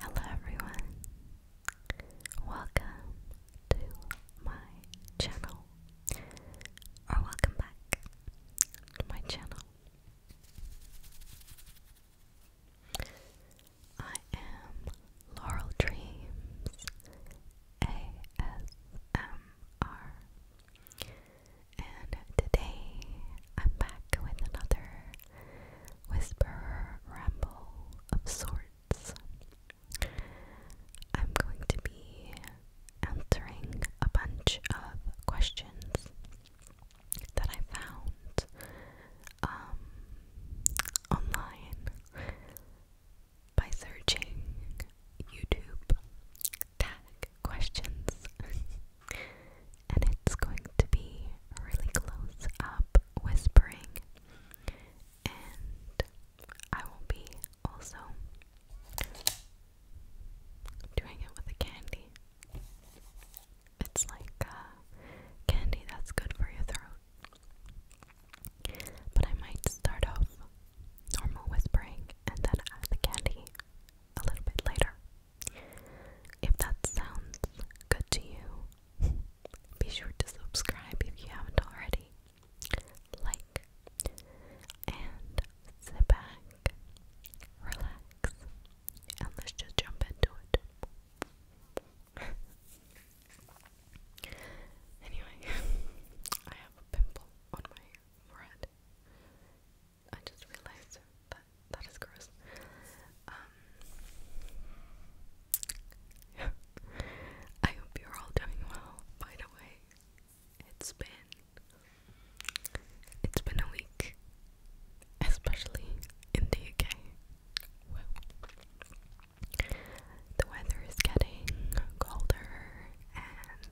Hello everyone. Welcome to my channel. Or welcome back to my channel. I am Laurel Dreams ASMR. And today I'm back with another Whisper, ramble of sorts. I'm going to be answering a bunch of questions that I found um, online by searching YouTube tag questions. and it's going to be really close up whispering, and I will be also doing it with a candy. It's like candy that's good for your throat. But I might start off normal whispering and then add the candy a little bit later. If that sounds good to you, be sure to subscribe if you haven't already. Like and sit back, relax, and let's just jump into it. anyway, I have a pimple on my forehead. I just realized that that is gross. Um, I hope you're all doing well. By the way, it's been it's been a week, especially in the UK. the weather is getting colder and.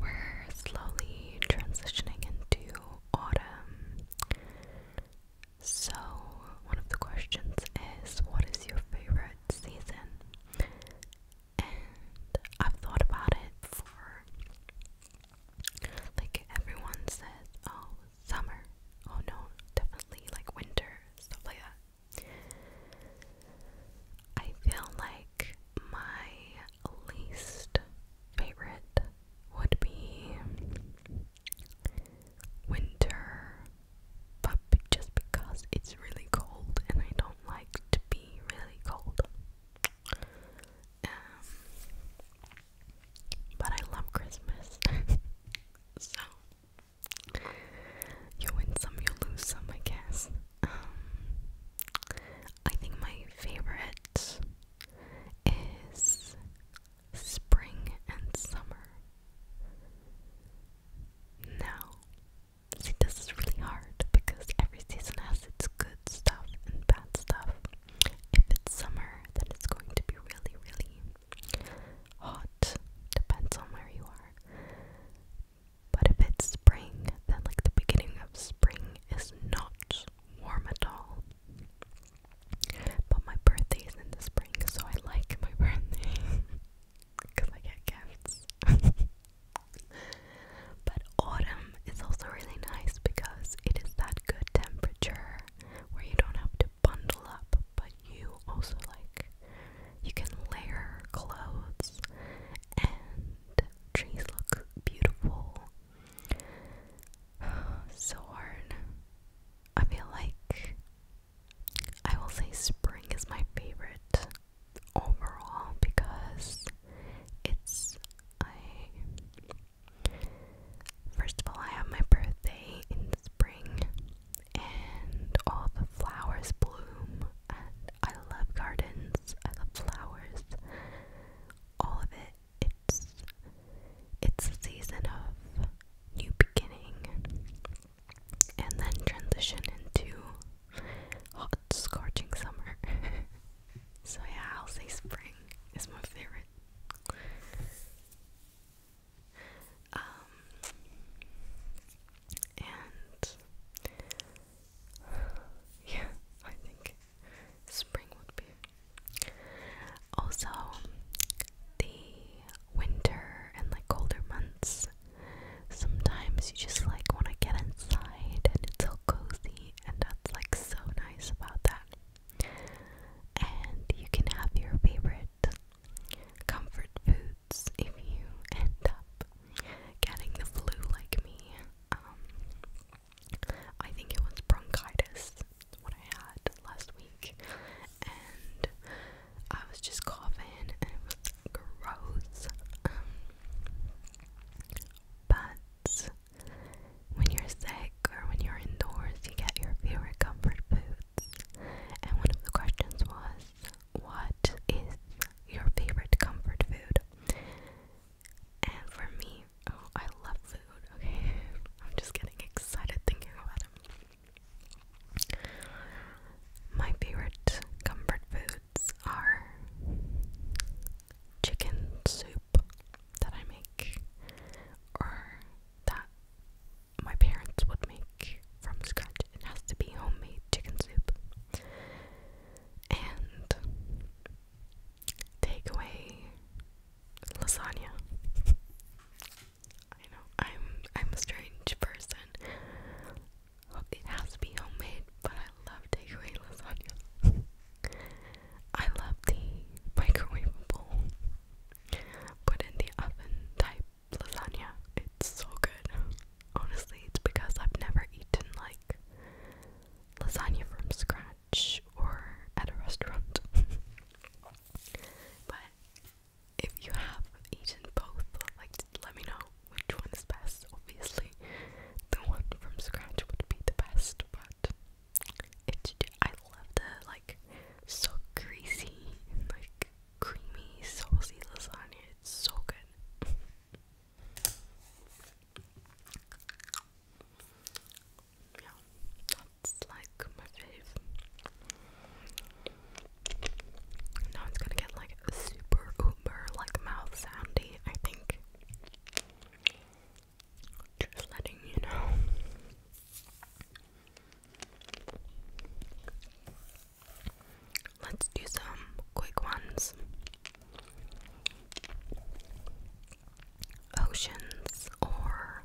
We're slowly transitioning into autumn. So, one of the questions is what is your favorite season? And I've thought about it before. Like, everyone says, oh, summer. Oh, no, definitely like winter, stuff like that. I feel like my least favorite would be winter, but just because it's really cold and I don't like to be really cold. Um, but I love Christmas. so, you win some, you lose some, I guess. Um, I think my favorite is spring and summer. Now, see, this is really hard because every season has its good stuff and bad stuff. If it's summer, then it's going to be really, really hot. Depends on where you are. But if it's spring, then like the beginning of spring is not warm at all. But my birthday is in the spring, so I like my birthday because I get gifts. but autumn is also really nice because it is that good temperature where you don't have to bundle up, but you also like you can layer clothes and trees look beautiful so hard. I feel like I will say spring is my favorite overall because it's I first of all I have my birthday in spring and all the flowers bloom and I love gardens, I love flowers, all of it it's it's a season of new beginning and then transition into hot scorching summer. so yeah, I'll say spring is my favorite. Um and yeah, I think spring would be. Also, the winter and like colder months, sometimes you just like want to get inside and it's so cozy, and that's like so nice about that. And you can have your favorite comfort foods if you end up getting the flu like me. Um, I think it was bronchitis, what I had last week, and I was just coughing and it was gross. Um, but when you're sick or when you're indoors, you get your favorite comfort foods. And one of the questions was, What is your favorite comfort food? And for me, Oh, I love food, okay? I'm just getting excited thinking about it. My favorite comfort foods are chicken soup that I make or that my parents would make from scratch. It has to be homemade chicken soup. And takeaway lasagna. I know I'm I'm a strange person. It has to be homemade, but I love takeaway lasagna. I love the microwaveable, put in the oven type lasagna. It's so good. Honestly, it's because I've never eaten like lasagna from scratch or at a restaurant. but if you have eaten both, like let me know which one is best. Obviously, the one from scratch would be the best, but it's I love the like so greasy like creamy saucy lasagna. It's so good. yeah, that's like my fave. Now it's gonna get like super uber like mouth soundy, I think. Just letting you know. Let's do some quick ones oceans or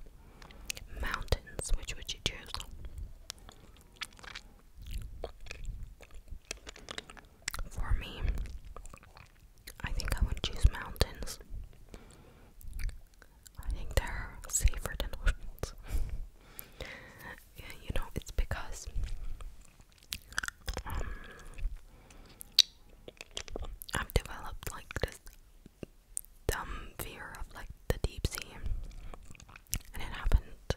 mountains, which would you choose? For me, I think I would choose mountains. I think they're safer than oceans. you know, it's because um, I've developed like this dumb fear of like the deep sea, and it happened.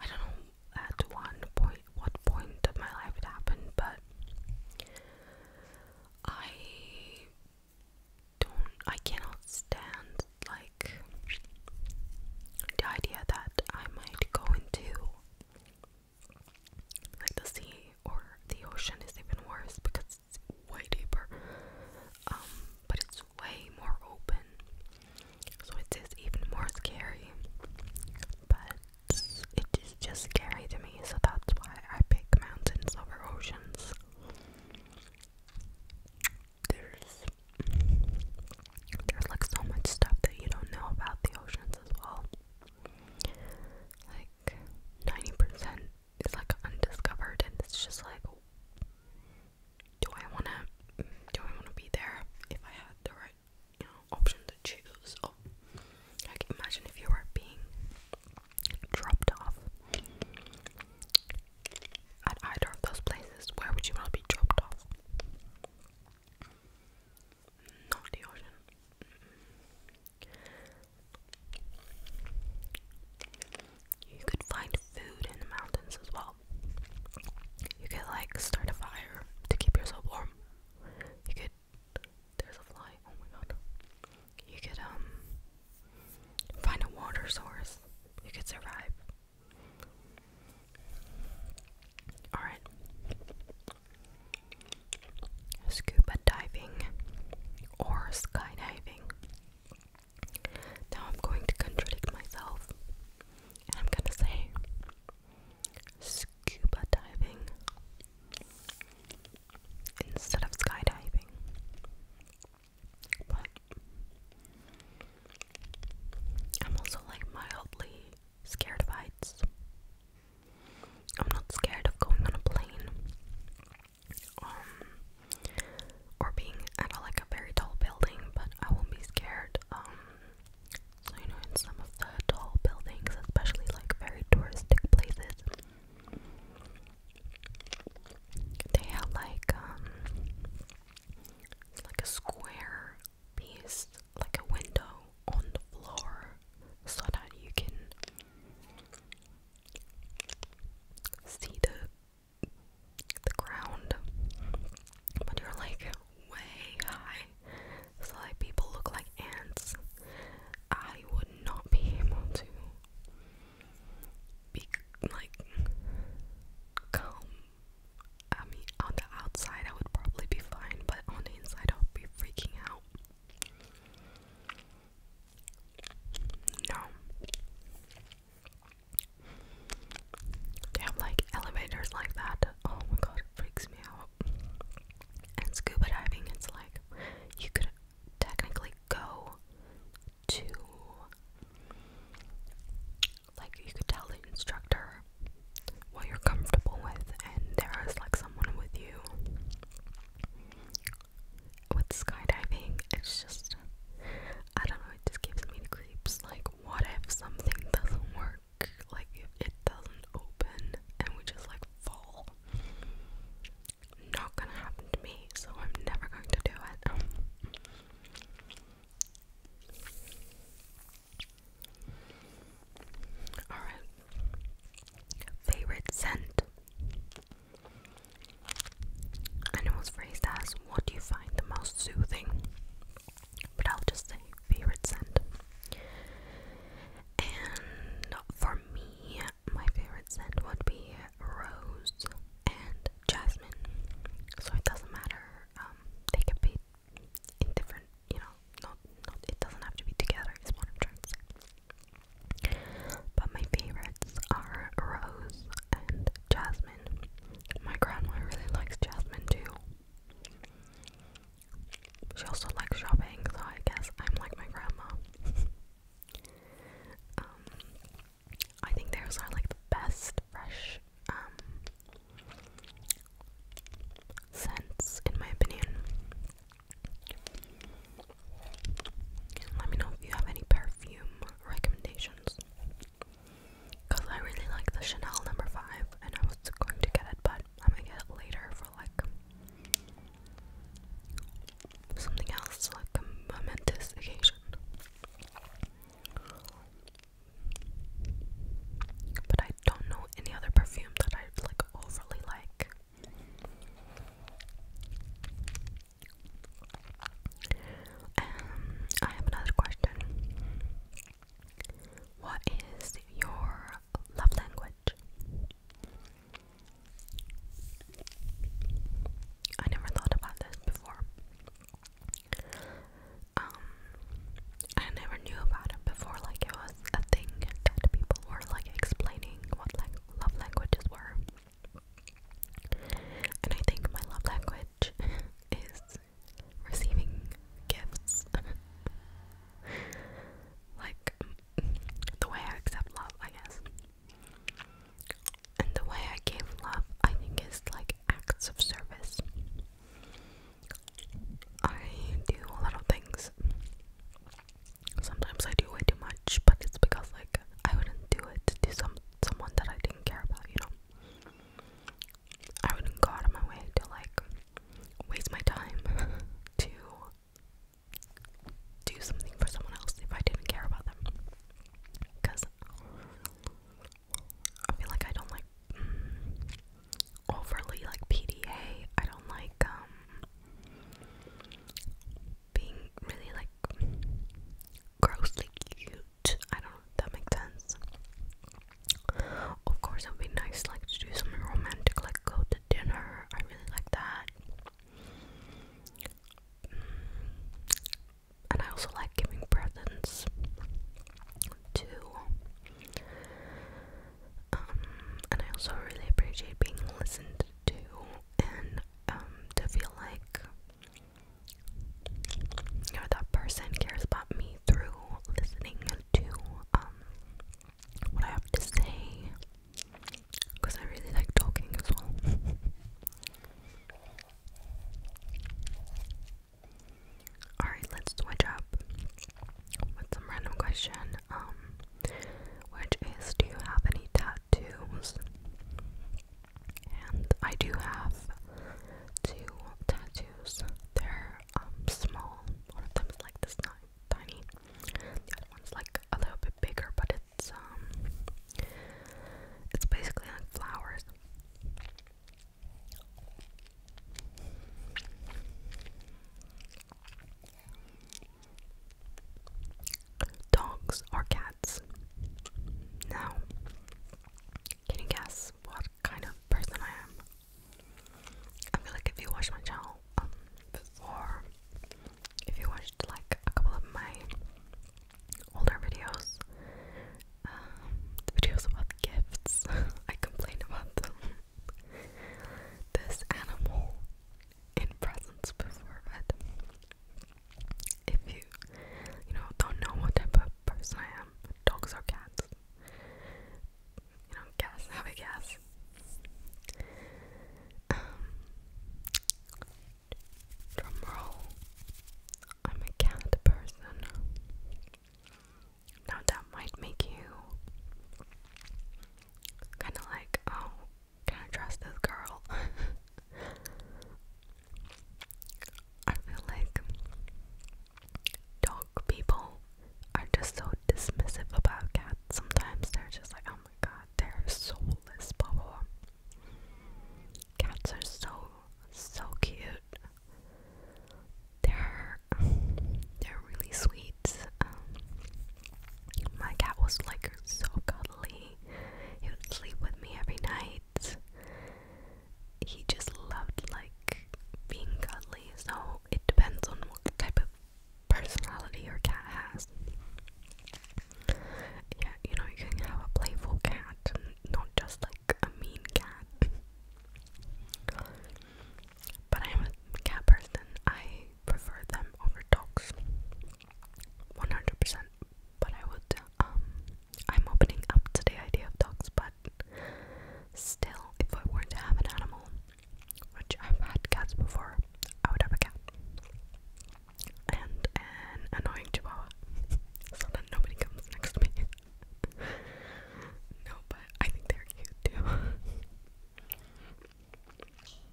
I don't know at one point, what point of my life it happened, but I don't. I cannot stand like the idea that I might go into like the sea or the ocean is even worse because it's way deeper. Um, but it's way more open. So it is even more scary. But it is just scary to me, so that's why I pick mountains over oceans. There's there's like so much stuff that you don't know about the oceans as well. Like 90% it's like undiscovered and it's just like do I want to do I want to be there if I had the right you know option to choose or oh, like imagine if you were being dropped off at either of those places where would you want to be dropped off not the ocean you could find food in the mountains as well. You could like start a fire to keep yourself warm. You could there's a fly. Oh my god. You could um find a water source. You could survive. All right scuba diving or skydiving. Now I'm going to contradict myself and I'm going to say scuba diving instead of skydiving. But I'm also like mildly scared of heights. I'm not scared of going on a plane um, or being at a, like a very tall building, but I won't be scared. Um, so you know, in some of the tall buildings, especially like very touristic places, they have like um, like a square piece, like a window on the floor, so that you can see the the ground, but you're like way high, so like people look like ants. I would not be able to be like calm. I mean, on the outside, I would probably be fine, but on the inside, I would be freaking out. No. They have like elevators like that. Oh my god, it freaks me out. And scuba diving, it's like you could technically go to. Like, you could tell the instructor what you're comfortable with, and there is like someone with you with skydiving, it's just, I don't know, it just gives me the creeps. Like, what if something doesn't work? Like, if it doesn't open and we just like fall? Not gonna happen to me, so I'm never going to do it. Alright. Favorite scent it was phrased as, What do you find the most soothing? But I'll just say, favorite scent. And for me, my favorite scent would be rose and jasmine. So it doesn't matter, um, they could be different, you know, not, it doesn't have to be together, is what I'm but my favorites are Rose and Jasmine. My grandma really likes Jasmine too. She also likes shopping, so I guess I'm like my grandma. Um, I think theirs are like the best fresh um, scents, in my opinion. Let me know if you have any perfume recommendations. Because I really like the Chanel number 5 and I was going to get it, but I'm gonna get it later for like something else, like a momentous occasion. But I don't know any other perfume that I like overly like. Um, I have another question. What is your love language? I never thought about this before. Um, I never knew about it before, like it was a thing that people were like explaining what like love languages were. And I think my love language is receiving gifts. like the way I accept love, I guess. And the way I give love, I think, is like acts of service. I do a lot of things Sometimes I do way too much, but it's because like I wouldn't do it to do some someone that I didn't care about, you know. I wouldn't go out of my way to like waste my time to do something for someone else if I didn't care about them. Cause I feel like I don't like overly like PDA. I don't like um being really like grossly cute. I don't that makes sense. Of course, it would be nice like to do something romantic, like go to dinner. I really like that. And I also like giving presents to. Um, and I also really appreciate being listened to and um to feel like you know that person cares about me through listening to um, what I have to say because I really like talking as well. Alright, let's switch up with some random question. Um which is do you have any ta tattoos. And I do have two tattoos. They're um, small. One of them is like this tiny. The other one's like a little bit bigger, but it's um it's basically like flowers dogs or cats. Now, can you guess what kind of person I am? I feel like if you watched my channel um, before, if you watched like a couple of my older videos, um, videos about gifts, I complained about this animal in presence before it. If you, you know, don't know what type of person I am, dogs or cats, you know, guess, have a guess. Um, drum roll. I'm a cat person. Now that might make you kind of like, oh, can I trust this girl? I feel like dog people are just so dismissive about cats. Sometimes they're just like, oh my god, they're soulless, blah Cats are so so cute. They're they're really sweet. Um, my cat was like so cuddly he would sleep with me every night. He just loved like being cuddly. So it depends on what type of personality your cat has. Yeah, you know, you can have a playful cat not just like a mean cat. But I'm a cat person. I prefer them over dogs. 100% but I would. Um, I'm opening up to the idea of dogs, but still, if I were not to have an animal, which I've had cats before, I would have a cat and an annoying chihuahua, so that nobody comes next to me. no, but I think they're cute too.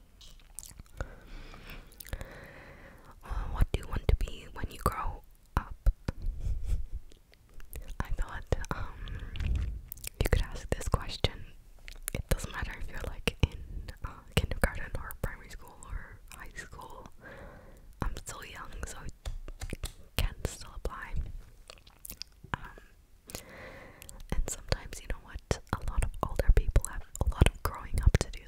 Uh, what do you want to be when you grow up? I thought um, you could ask this question. It doesn't matter if you're like in uh, kindergarten or primary school or high school. I'm still young, so it can still apply. Um, and sometimes, you know what? A lot of older people have a lot of growing up to do,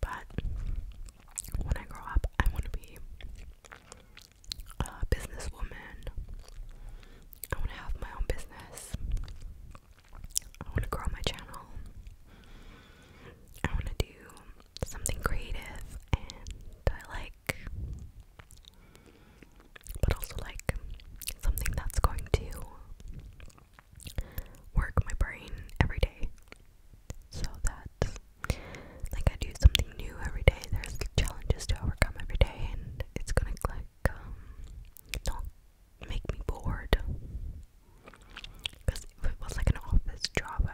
but when I grow up, I want to be a businesswoman. I want to have my own business. I want to grow my channel. I want to do something creative and I like but also like something that's going to work my brain every day so that like I do something new every day. There's challenges to overcome every day, and it's gonna like um, not make me bored. Because if it was like an office job,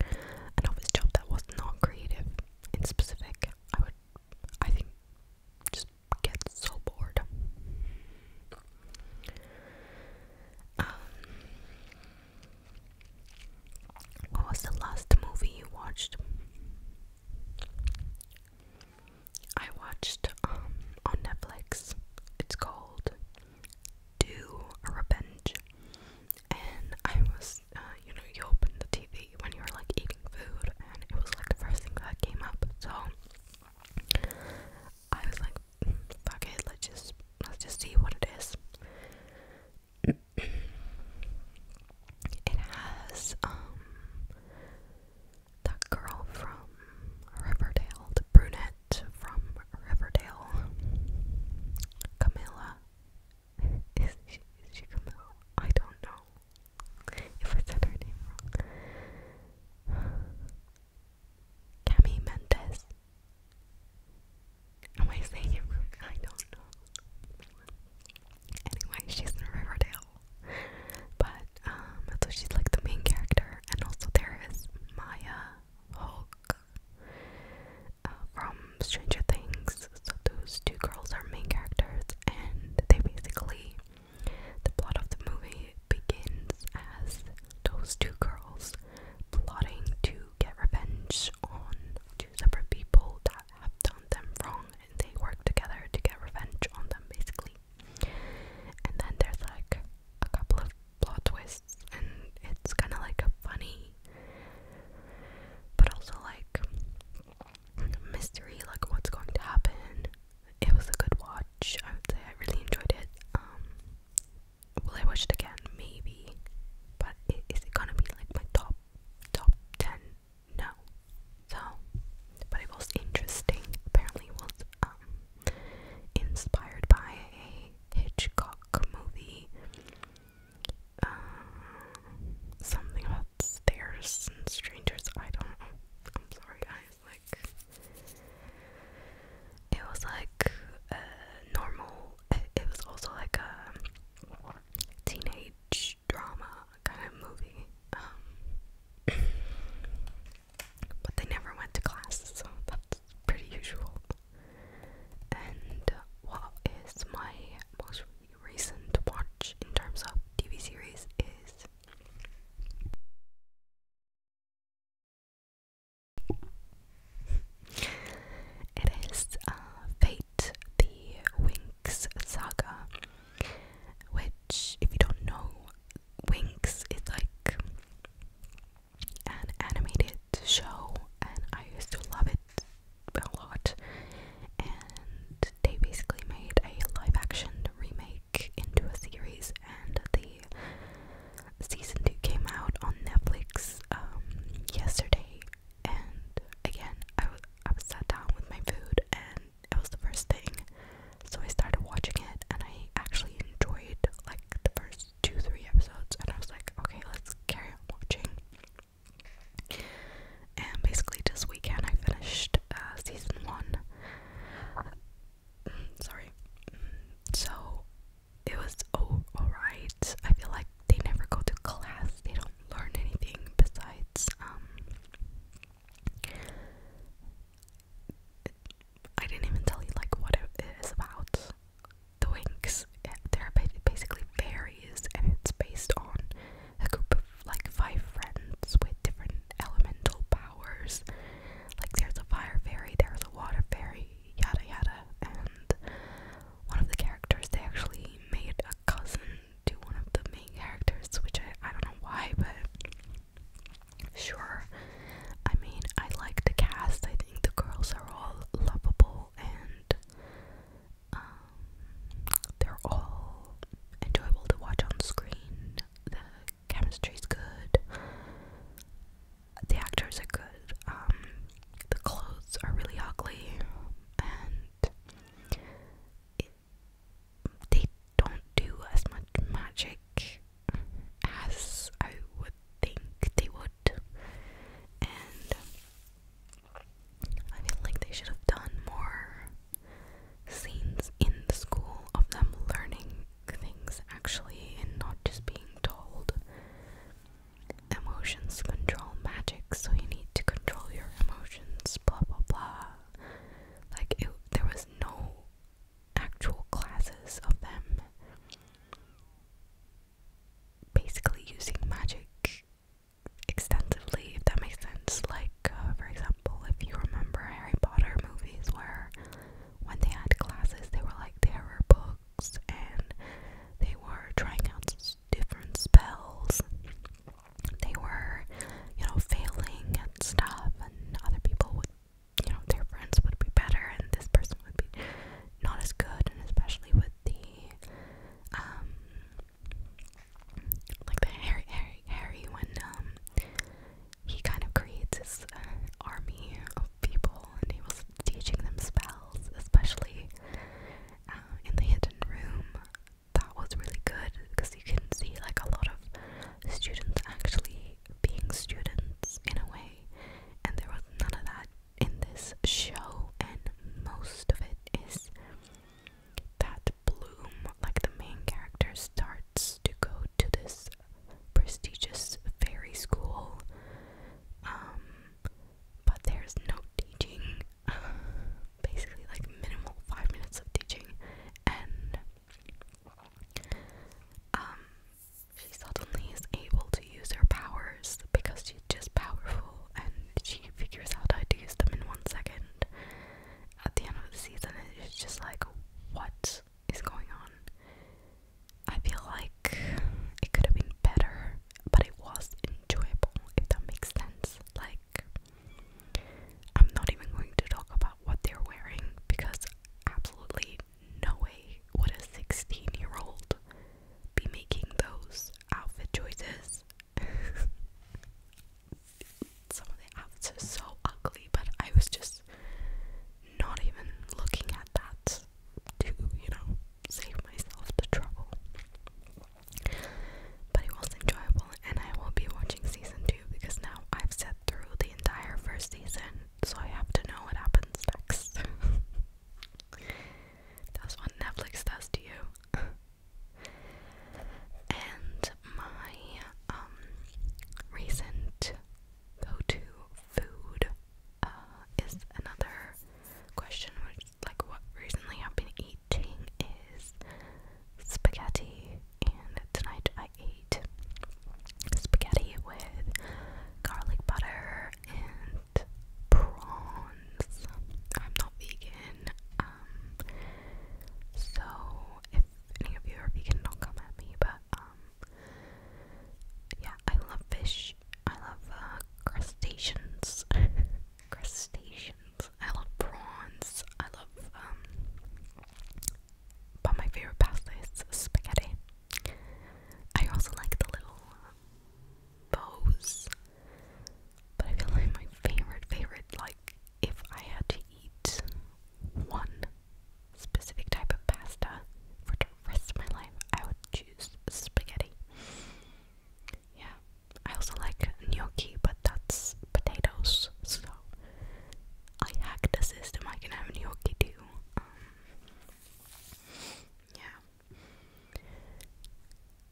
an office job that was not creative and specific, I would, I think, just get so bored. Um, what was the last movie you watched? I watched um on Netflix. It's called Do Revenge, and I was uh, you know you open the TV when you were like eating food, and it was like the first thing that came up. So I was like, "Fuck it, let's just let's just see what it is." it has um that girl from Riverdale, the brunette from Riverdale, Camilla. Is she, is she Camilla? I don't know if I said her name wrong. Cami Mendes. Am I saying it I don't know. Anyway, she's in Riverdale. But, um, so she's like the main character. And also there is Maya Hulk uh, from Stranger Things. So those two girls are main characters and they basically the plot of the movie begins as those two girls plotting to get revenge on two separate people that have done them wrong and they work together to get revenge on them basically. And then there's like a couple of plot twists and it's kind of like a funny but also like mystery, like what's going to happen. It was a good watch. I would say I really enjoyed it. Um, will I watch it again? Maybe. But it, is it gonna be like my top top ten? No. So, but it was interesting. Apparently, was um, inspired by a Hitchcock movie. Uh, something about and strangers. I don't know. I'm sorry, I Like, it was like uh, normal. It was also like a teenage drama kind of movie. Um, but they never went to class, so that's pretty usual. And what is my most recent watch in terms of TV series is it is uh, Fate the Winx Saga, which, if you don't know, Winx is like an animated show, and I used to love it a lot and they basically made a live action remake into a series, and the season 2 came out on Netflix um, yesterday. And again, I, I was sat down with my food, and it was the first thing, so I started watching it, and I actually enjoyed like the first two, three episodes, and I was like, okay, let's carry on watching and basically this weekend I finished uh, season one. Mm, sorry. Mm, so it was oh alright. I feel like they never go to class. They don't learn anything besides um. I didn't even tell you like what it is about. The winks. Eh, they're basically fairies, and it's based on a group of like five friends with different elemental powers. Like there's a fire fairy, there's a water fairy, yada yada. And one of the characters they actually made a cousin to one of the main characters, which I, I don't know why, but sure. I mean, I like the cast. I think the girls are all lovable and um, they're all enjoyable to watch on screen. The chemistry's good. The actors are good. Um, the clothes are really ugly, and it, they don't do as much magic as I would think they would. And I feel like they should have done more scenes in the school of them learning things actually and not just being told. Emotions control magic, so you need to control your emotions, blah blah blah. Like, there was no actual classes of them basically using magic extensively, if that makes sense. Like, uh, for example, example, if you remember Harry Potter movies, where when they had classes, they were like terror books and they were trying out different spells. They were, you know, failing at stuff, and other people would, you know, their friends would be better, and this person would be not as good, and especially with the um like the Harry Harry when um, he kind of creates his uh, army of people and he was teaching them spells, especially uh, in the hidden room. That was really good because you can see like a lot of students actually being students in a way, and there was none of that in this show, and most of it is that Bloom, like the main character, starts to go to this prestigious fairy school. Um, but there's no teaching, basically, like minimal five minutes of teaching, and um, she suddenly is able to use her powers because she's just powerful and she figures out how to use them in one second at the end of the season, it's just like, what is going on? I feel like it could have been better, but it was enjoyable, if that makes sense. Like, I'm not even going to talk about what they're wearing because absolutely no way would a 16 year old be making those outfit choices. some of the outfits are so ugly, but I was just not even looking at that to, you know, save myself the trouble. But it was enjoyable, and I will be watching season 2 because now I've sat through the entire first season, so I have to know what happens next. That's what Netflix does to you. And my um recent go-to food uh, is another question, which like what recently I've been eating is spaghetti, and tonight I ate spaghetti with garlic butter and prawns. I'm not vegan. Uh, so if any of you are vegan, don't come at me, but um, yeah, I love fish. I love uh, crustaceans. crustaceans. I love prawns. I love um, but my favorite pasta is spaghetti. I also like the little um, bows. But I feel like my favorite, favorite, like if I had to eat one specific type of pasta for the rest of my life, I would choose spaghetti. Yeah, I also like gnocchi, but that's potatoes, so I hacked the system. I can have gnocchi too. Um, yeah.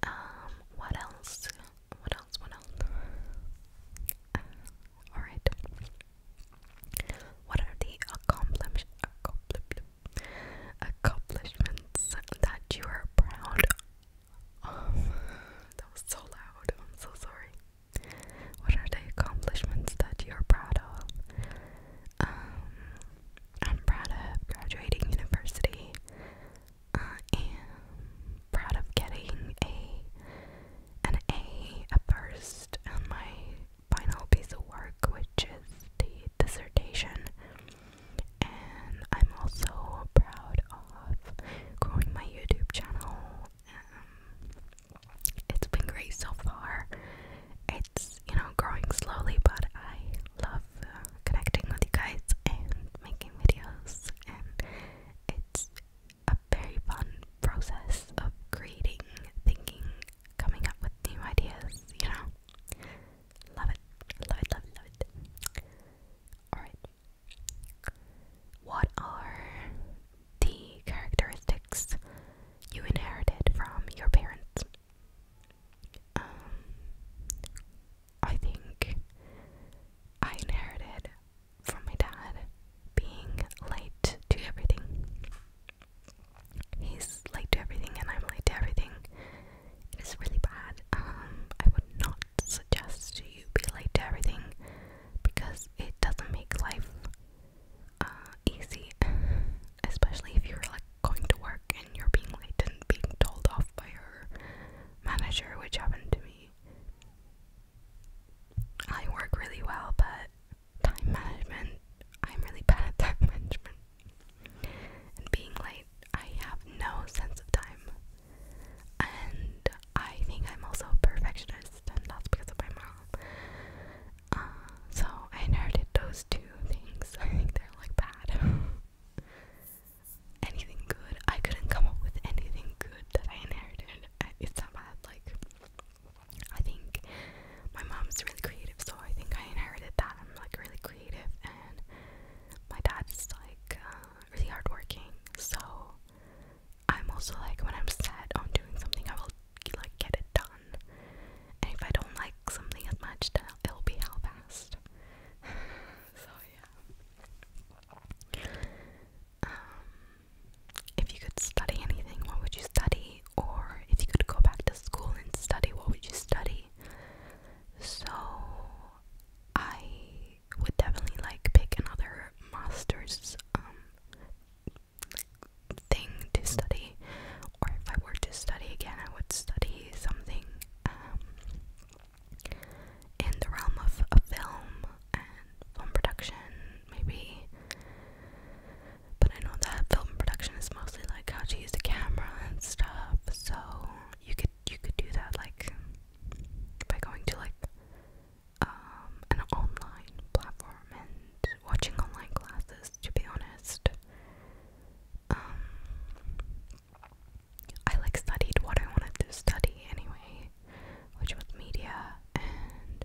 Um, what else? what else? What else? Uh, all right. What are the accomplishments that you are proud of? That was so loud. I'm so sorry. What are the accomplishments that you're proud of? Um, I'm proud of graduating university. I uh, am proud of getting a an A at first and my final piece of work, which is the dissertation. And I'm also proud of growing my YouTube channel. Um, it's been great so far. It's you know growing slowly, but I love uh, connecting with you guys and making videos, and it's a very fun process of creating, thinking, coming up with new ideas, you know? Love it. Love it, love it, love it. Alright. What are the characteristics you inherited from your parents? Um, I think I inherited from my dad being late to everything. He's late to everything, and I'm late to everything. It is really bad. Um, I would not suggest you be late to everything because it doesn't make life uh, easy, especially if you're like going to work and you're being late and being told off by your manager, which happened to me. I work really well, but time management, I'm really bad at time management. And being late, I have no sense of time. And I think I'm also a perfectionist, and that's because of my mom. Uh, so I inherited those two things. I think they're like bad. anything good? I couldn't come up with anything good that I inherited it's that bad. Like, I think my mom's really creative, so I think I inherited that. I'm like really creative, and my dad's like uh, really hardworking. So I'm also like when I'm set on doing something, I will like get it done. And if I don't like something as much, then it'll be hell fast. so yeah. Um, if you could study anything, what would you study? Or if you could go back to school and study, what would you study? So I would definitely like pick another master's um thing to study. Or if I were to study again, I would study something um, in the realm of a film film production, maybe. But I know that film production is mostly like how to use the camera and stuff. So you could you could do that like by going to like um an online platform and watching online classes. To be honest, um, I like studied what I wanted to study anyway which was media, and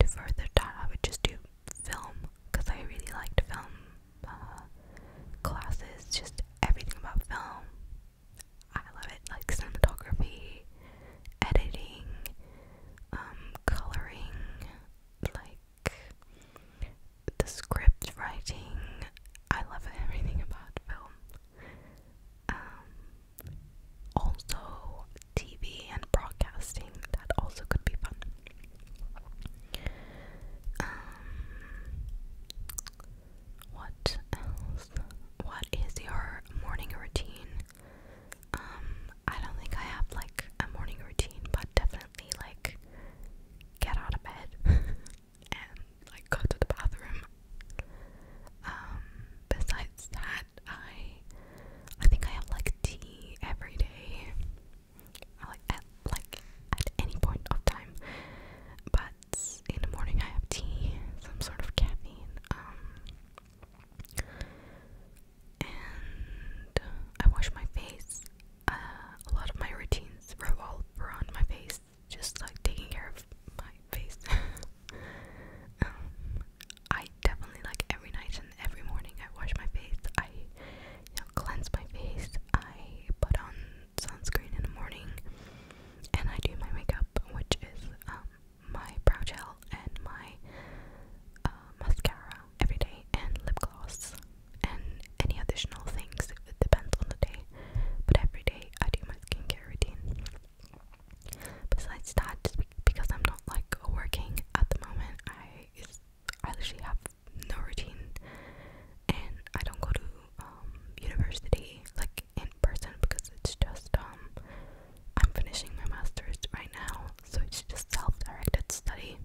to further that, I would just do film because I really liked film uh, classes, just everything about film. I love it, like cinematography, editing, um, coloring, like the script writing. I love everything about film. Um, also TV and broadcasting. That also could be fun. Um, what else? What is your morning routine? Um, I don't think I have like a morning routine, but definitely like get out of bed and like go to the bathroom. Um, besides that, I I think I have like tea every day. Like at like at any point of time. But in the morning I have tea, some sort of caffeine. Um and I wash my face. Uh, a lot of my routines revolve around my face, just like taking care of my face. Um, I definitely like every night and every morning I wash my face. I cleanse my face. I put on sunscreen in the morning, and I do my makeup, which is um, my brow gel and my uh, mascara every day, and lip gloss, and any additional things. It depends on the day, but every day I do my skincare routine. Besides that, because I'm not like working at the moment, I I literally have no routine, and I don't go to um, university like in person because it's just um I'm finishing my master's right now, so it's just self-directed study.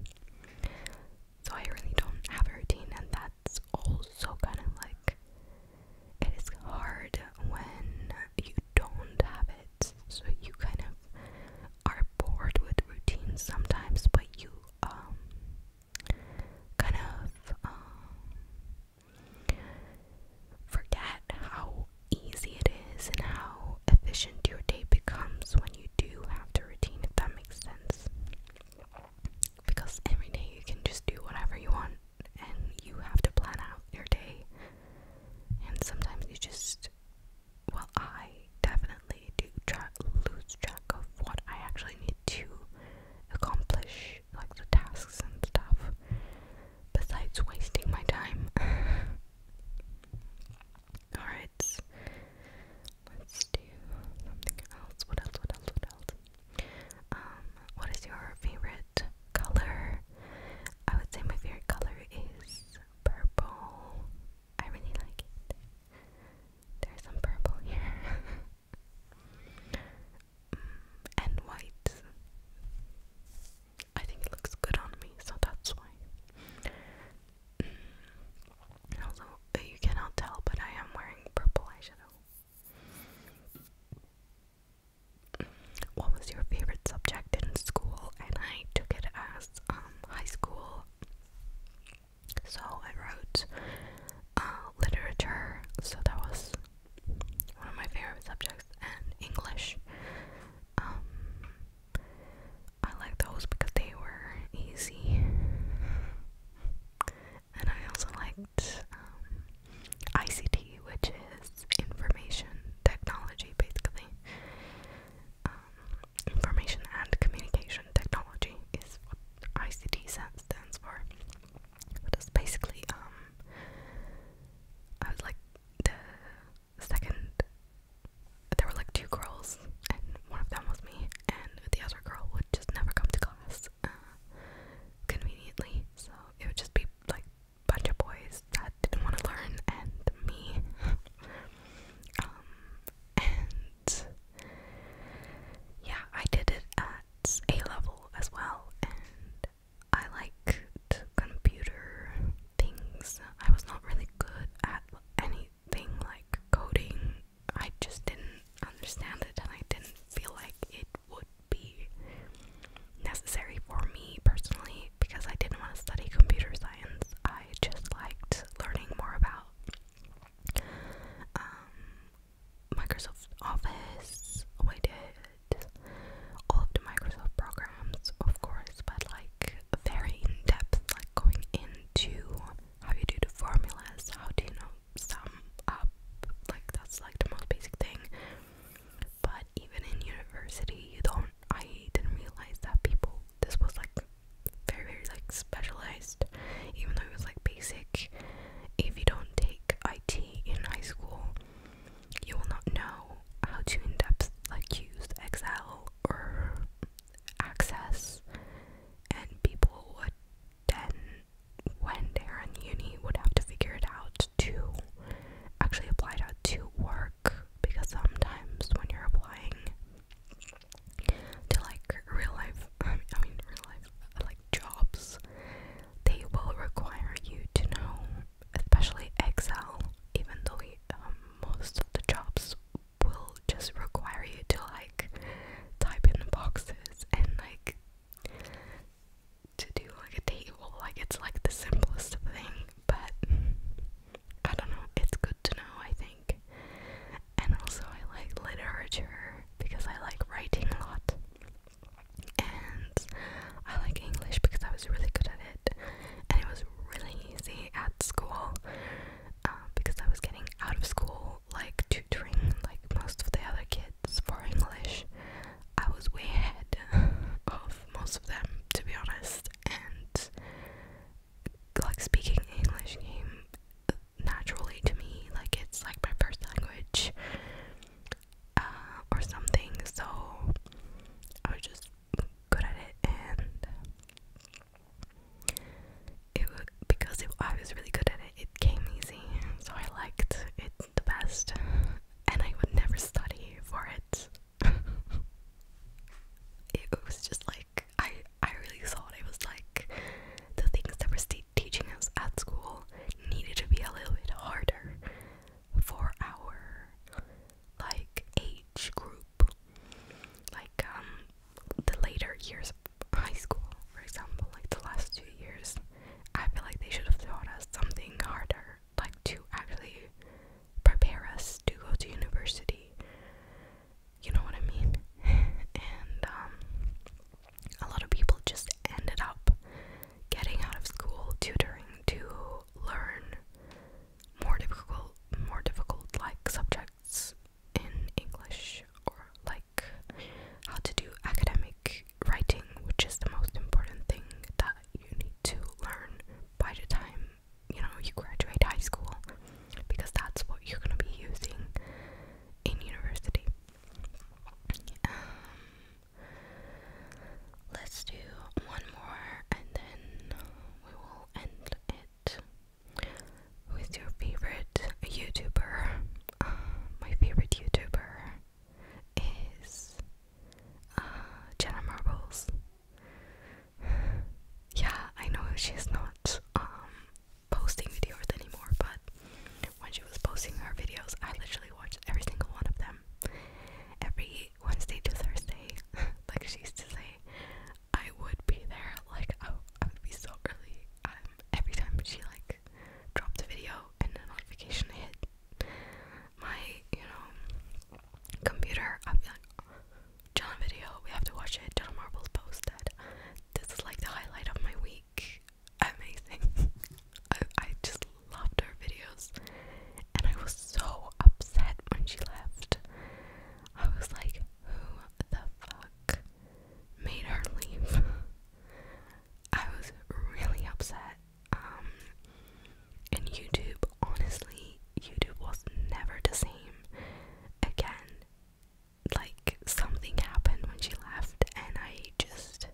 So I really don't have a routine, and that's also kind of like it is hard when you don't have it. So you kind of are bored with routines sometimes, but you um kind of um, forget how easy it is and how efficient your day becomes when you do have the routine, if that makes sense. Because every day you can just do whatever you want and you have to plan out your day. And sometimes you just, well, I definitely do tra lose track of what I actually need to accomplish, like the tasks and stuff, besides wasting my time. Alright, let's do something else. What else? What else? What else? Um, what is your favorite color? I would say my favorite color is purple. I really like it. There's some purple here. and white. I think it looks good on me, so that's why. Mm. Also, you cannot tell, but I am wearing purple eyeshadow what was your favorite subject in school? And I took it as um, high school. So I wrote uh, literature, so that was one of my favorite subjects, and English. Um, I liked those because they were easy, and I also liked um, ICT, which is information technology, basically. Um, information and communication technology is what ICT stands for. it's basically, um, like the second. There were like two girls, and one of them was me, and the other girl would just never come to class uh, conveniently, so it would just be like bunch of boys that didn't want to learn and me. Um, and yeah, I did it at A level as well, and I liked computer things. I was not really good at anything like coding. I just didn't understand it and I didn't feel like it would be necessary for me personally because I didn't want to study computer science. I just liked learning more about um, Microsoft Office. Oh, I did all of the Microsoft programs, of course, but like very in depth, like going into how you do the formulas, how do you know sum up, like that's like the most basic thing but even in university you don't I didn't realize that people this was like very very like specialized even though it was like basic if you don't take IT in high school you will not know how to in depth like use Excel or access and people would then when they're in uni would have to figure it out to actually apply to work because sometimes when you're applying to like real life, I mean, I real life, like jobs, they will require you to know, especially Excel, even though um, most of the jobs will just require you to like type in the boxes and like to do like a table. Like it's like the simplest thing, but I don't know. It's good to know, I think. And also, I like literature because I like writing a lot. And I like English because I was really good at it. And it was really easy at school um, because I was getting out of school, like tutoring, like most of the other kids for English. I was way ahead of most of them, to be honest. And like speaking English came naturally to me, like it's like my first language uh, or something. So I was just good at it, and it was, because I was really good at it, it came easy. So I liked it the best, and I would never study for it. it was just like I I really thought it was like the things that were still teaching us at school needed to be a little bit harder for our like age group, like um the later years of high school, for example, like the last two years. I feel like they should have taught us something harder like to actually prepare us to go to university. You know what I mean? and um, a lot of people just ended up getting out of school tutoring to learn more difficult, more difficult like subjects in English or like how to do academic writing, which is the most important thing that you need to learn by the time you know you graduate high school because that's what you're going to be using in university. Um, let's do one more and then we will end it. Who is your favorite YouTuber? Uh, my favorite YouTuber is uh, Jenna Marbles. yeah, I know she's not um, posting videos anymore, but when she was posting her videos, I literally watched every single one of them every Wednesday to Thursday. like she used to say, I would be there. Like I, I would be so early. Um, every time she like dropped a video and the notification hit, my, you know, computer. i video, we have to watch it. John posted. This is like the highlight of my week. Amazing. I, I just loved her videos. And I was so upset when she left. I was like, who the fuck made her leave? I was really upset. Um, and YouTube, honestly, YouTube was never the same again. Like, something happened when she left, and I just,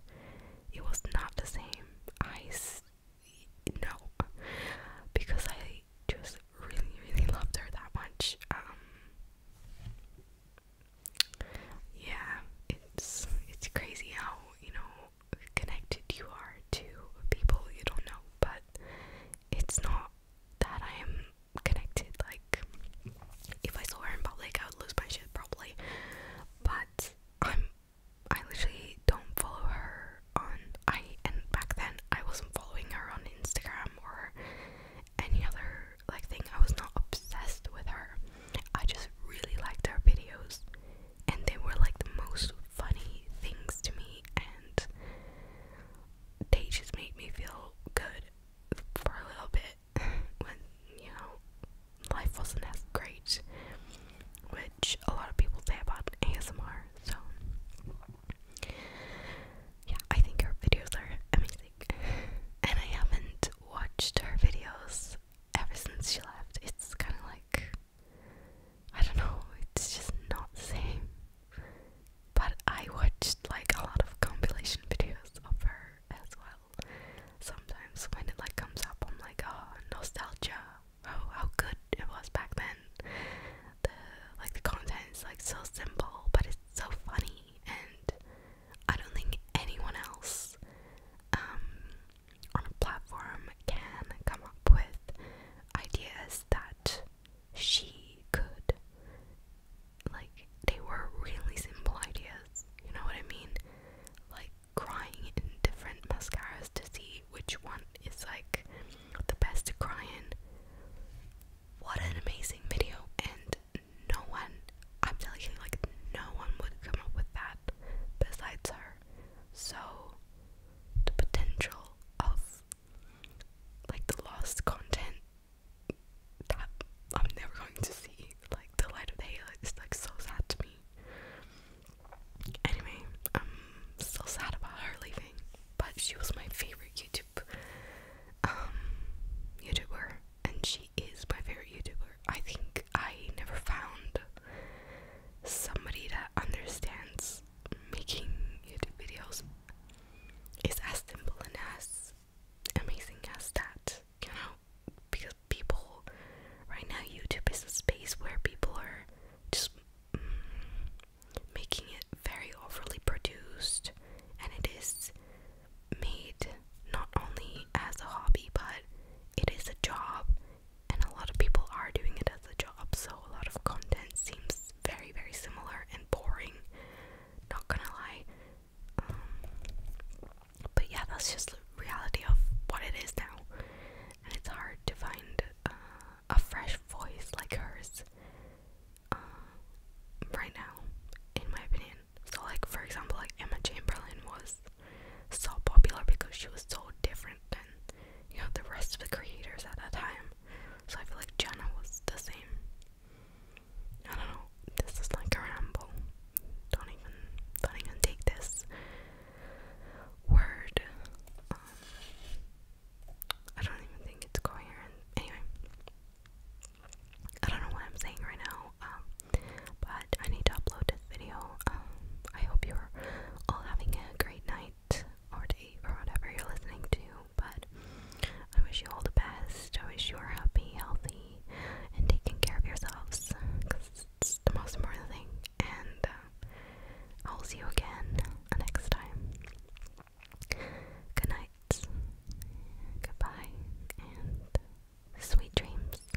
it was not the same. I, no, because I just really, really loved her that much. Um, yeah, it's, it's crazy how, you know, connected you are to people you don't know, but it's not that I am connected. Like, if I saw her in public, I would lose my shit probably. But I'm, I literally don't follow her on. I and back then I wasn't following her on Instagram or any other like thing. I was not obsessed with her. I just really liked her videos and they were like the most funny things to me and they just made me feel good for a little bit when you know life wasn't as great which a lot of people say about ASMR so yeah I think her videos are amazing and I haven't watched her videos ever since she left it's kind of like I don't know, it's just not the same. But I watched like a lot of compilation videos of her as well. Sometimes when it like comes up, I'm like, oh, nostalgia. Oh, how good it was back then. The like the content is like so simple, but it's so funny, and I don't think anyone else um, on a platform can come up with ideas that she could. Like, they were really simple ideas, you know what I mean? Like, crying in different mascaras to see which one is like the best to cry in. What an amazing video! And no one, I'm telling you, like, no one would come up with that besides her. So, the potential of like the lost content that I'm never going to see. Like the light of day is like so sad to me. Anyway, I'm so sad about her leaving, but she was my favorite YouTube um YouTuber and she is my favorite YouTuber. I think I never found somebody that understands making YouTube videos is as simple and as amazing as that, you know? Because people, right now, YouTube is a space where people are just mm, making it very overly produced, and it is made not only as a hobby, but it is a job, and a lot of people are doing it as a job, so a lot of content seems very, very similar and boring. Not gonna lie. Um, but yeah, that's just the reality of what it is now, and it's hard to find uh, a fresh voice like hers uh, right now, in my opinion. So, like for example, like Emma Chamberlain was so popular because she was so different and you know, the rest of the creators at that time. So I feel like Jenna was the same. I don't know, this is like a ramble. Don't even don't even take this word. Um, I don't even think it's coherent. Anyway. I don't know what I'm saying right now, um, but I need to upload this video. Um, I hope you're all having a great night or to or whatever you're listening to. But I wish you all the best. I wish you are happy, healthy, and taking care of yourselves because it's the most important thing. And uh, I'll see you again next time. Good night, goodbye, and sweet dreams.